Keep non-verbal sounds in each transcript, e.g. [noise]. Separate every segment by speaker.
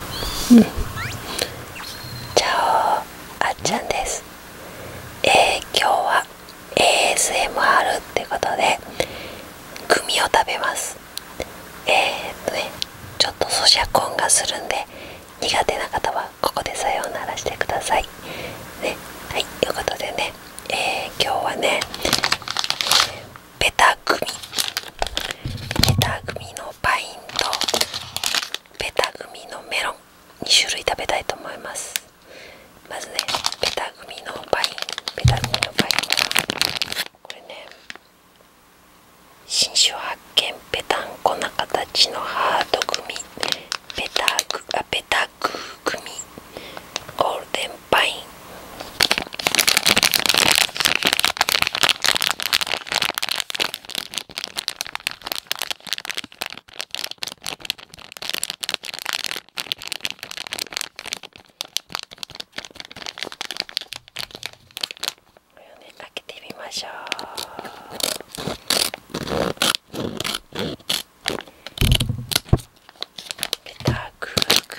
Speaker 1: うん、チャオあっちゃんです、えー、今日は ASMR ってことでグミを食べますえっとねちょっと咀嚼音がするんで苦手な方はここでさようならしてくださいはいということでねえー、今日はね、えー、組ベタ組のパインとペタ組のメロン2種類食べたいと思いますまずねペタ組のパインペタ組のパインこれね新種発見ペタンコな形のハート組ベタグあペタグ組ゴールデンパインれをねかけてみましょうベタークーク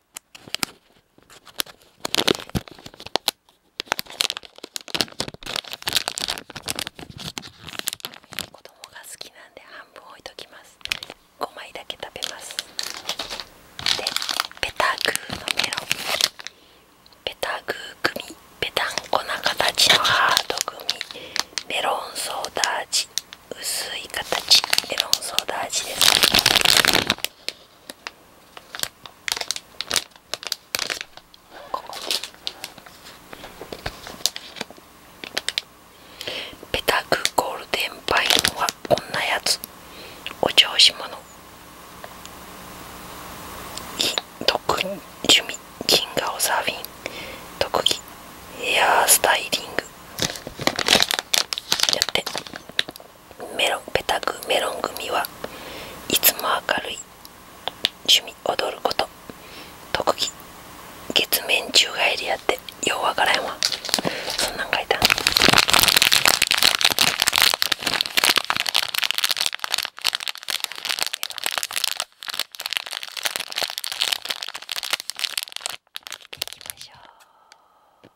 Speaker 1: 子供が好きなんで半分置いときます5枚だけ食べますでペタグーのメロンペタグー組、ペタンコな形のハート組。メロンソーダ味薄い形メロンソーダ味ですこペタクゴールデンパイロンはこんなやつお調子者特趣味、銀河おサーフィン特技ヘアスタイリングやってメロンペタグメロン組はいつも明るい趣味踊ること特技月面宙返りやってようわからんわそんなん書いたいきましょう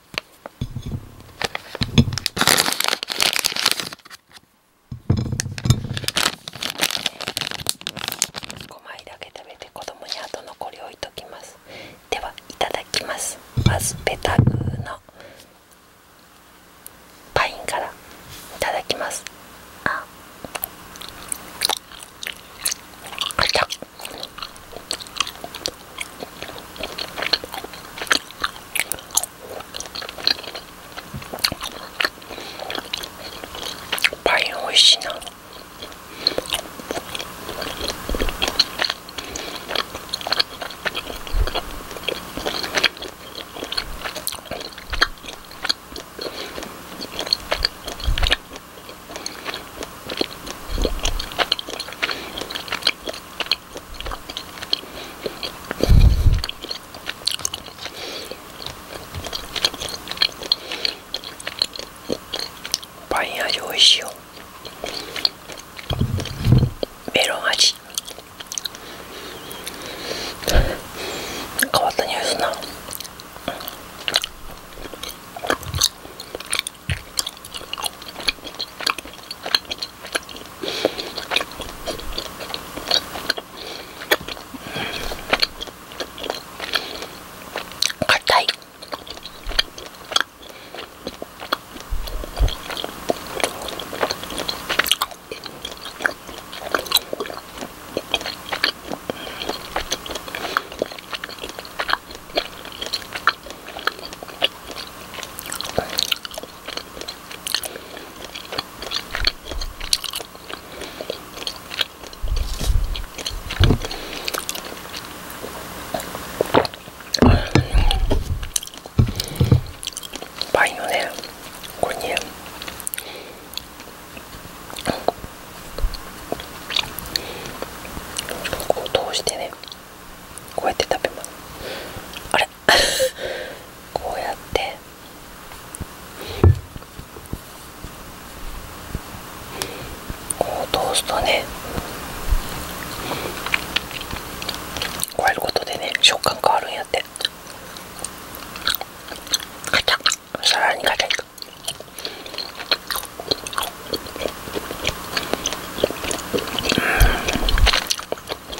Speaker 1: 5枚だけ食べて子供に後残り置いときますではいただきますまずペタグーのパインからいただきますああちゃパイン美味しいなパイン味おいしいよメロン味変わった匂いすんな硬いパイのねこれにこう通してねこうやって食べますあれ [laughs] こうやってこう通すとねこうやることでね食感変わるんやってガチャッ、さらにガチャいくうん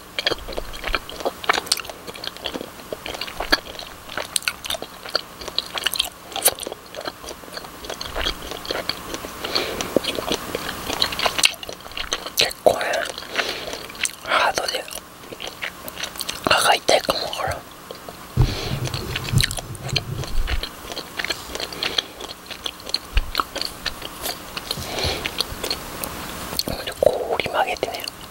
Speaker 1: 結構ねハードで歯がたいかもほらんこう折り曲げてね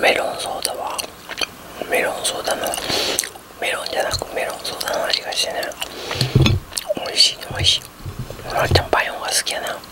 Speaker 1: メロンソーダはメロンソーダのメロンじゃなくメロンソーダの味がしてね美味しい美味しい俺はチャパイオンが好きやな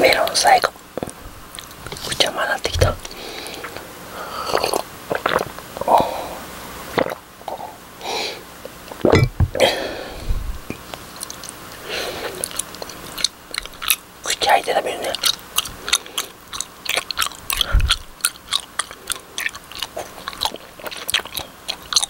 Speaker 1: メロン最後口邪魔になってきた口開いて食べるね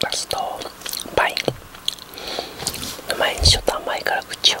Speaker 1: ラストパイの前にちょっと甘いから口を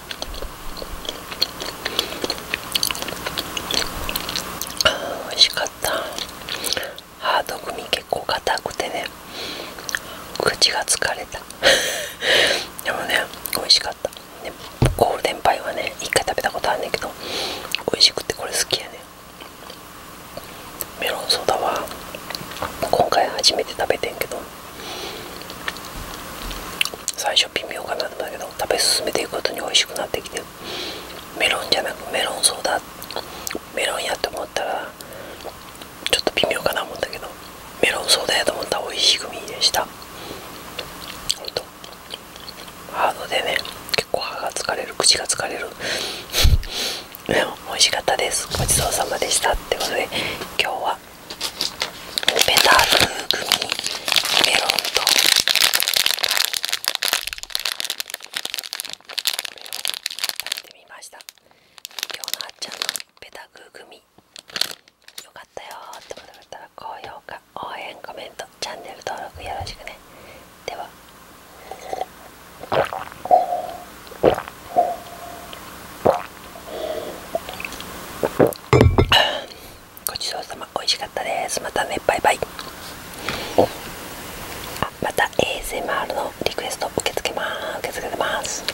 Speaker 1: あ美味しかったハード組結構硬くてね口が疲れた [laughs] でもね美味しかったでゴールデンパイはね一回食べたことあんねんけど美味しくてこれ好きやねメロンソーダは今回初めて食べてんけど最初微妙かなんだけど食べ進めていくことに美味しくなってきてメロンじゃなくメロンソーダメロンやと思ったらちょっと微妙かな思ったけどメロンソーダやと思ったら美味しい組でしたほんとハードでね結構歯が疲れる口が疲れる [laughs] 美味しかったですごちそうさまでしたってことで今日はベタ風グミメロンとメロン食べてみました今日のあっちゃんのベタ風グミよかったよってことだったら高評価応援コメントチャンネル登録よろしくねではごちそうさま美味しかったですまたねバイバイおあまた ASMR のリクエスト受け付けます。受け付けてます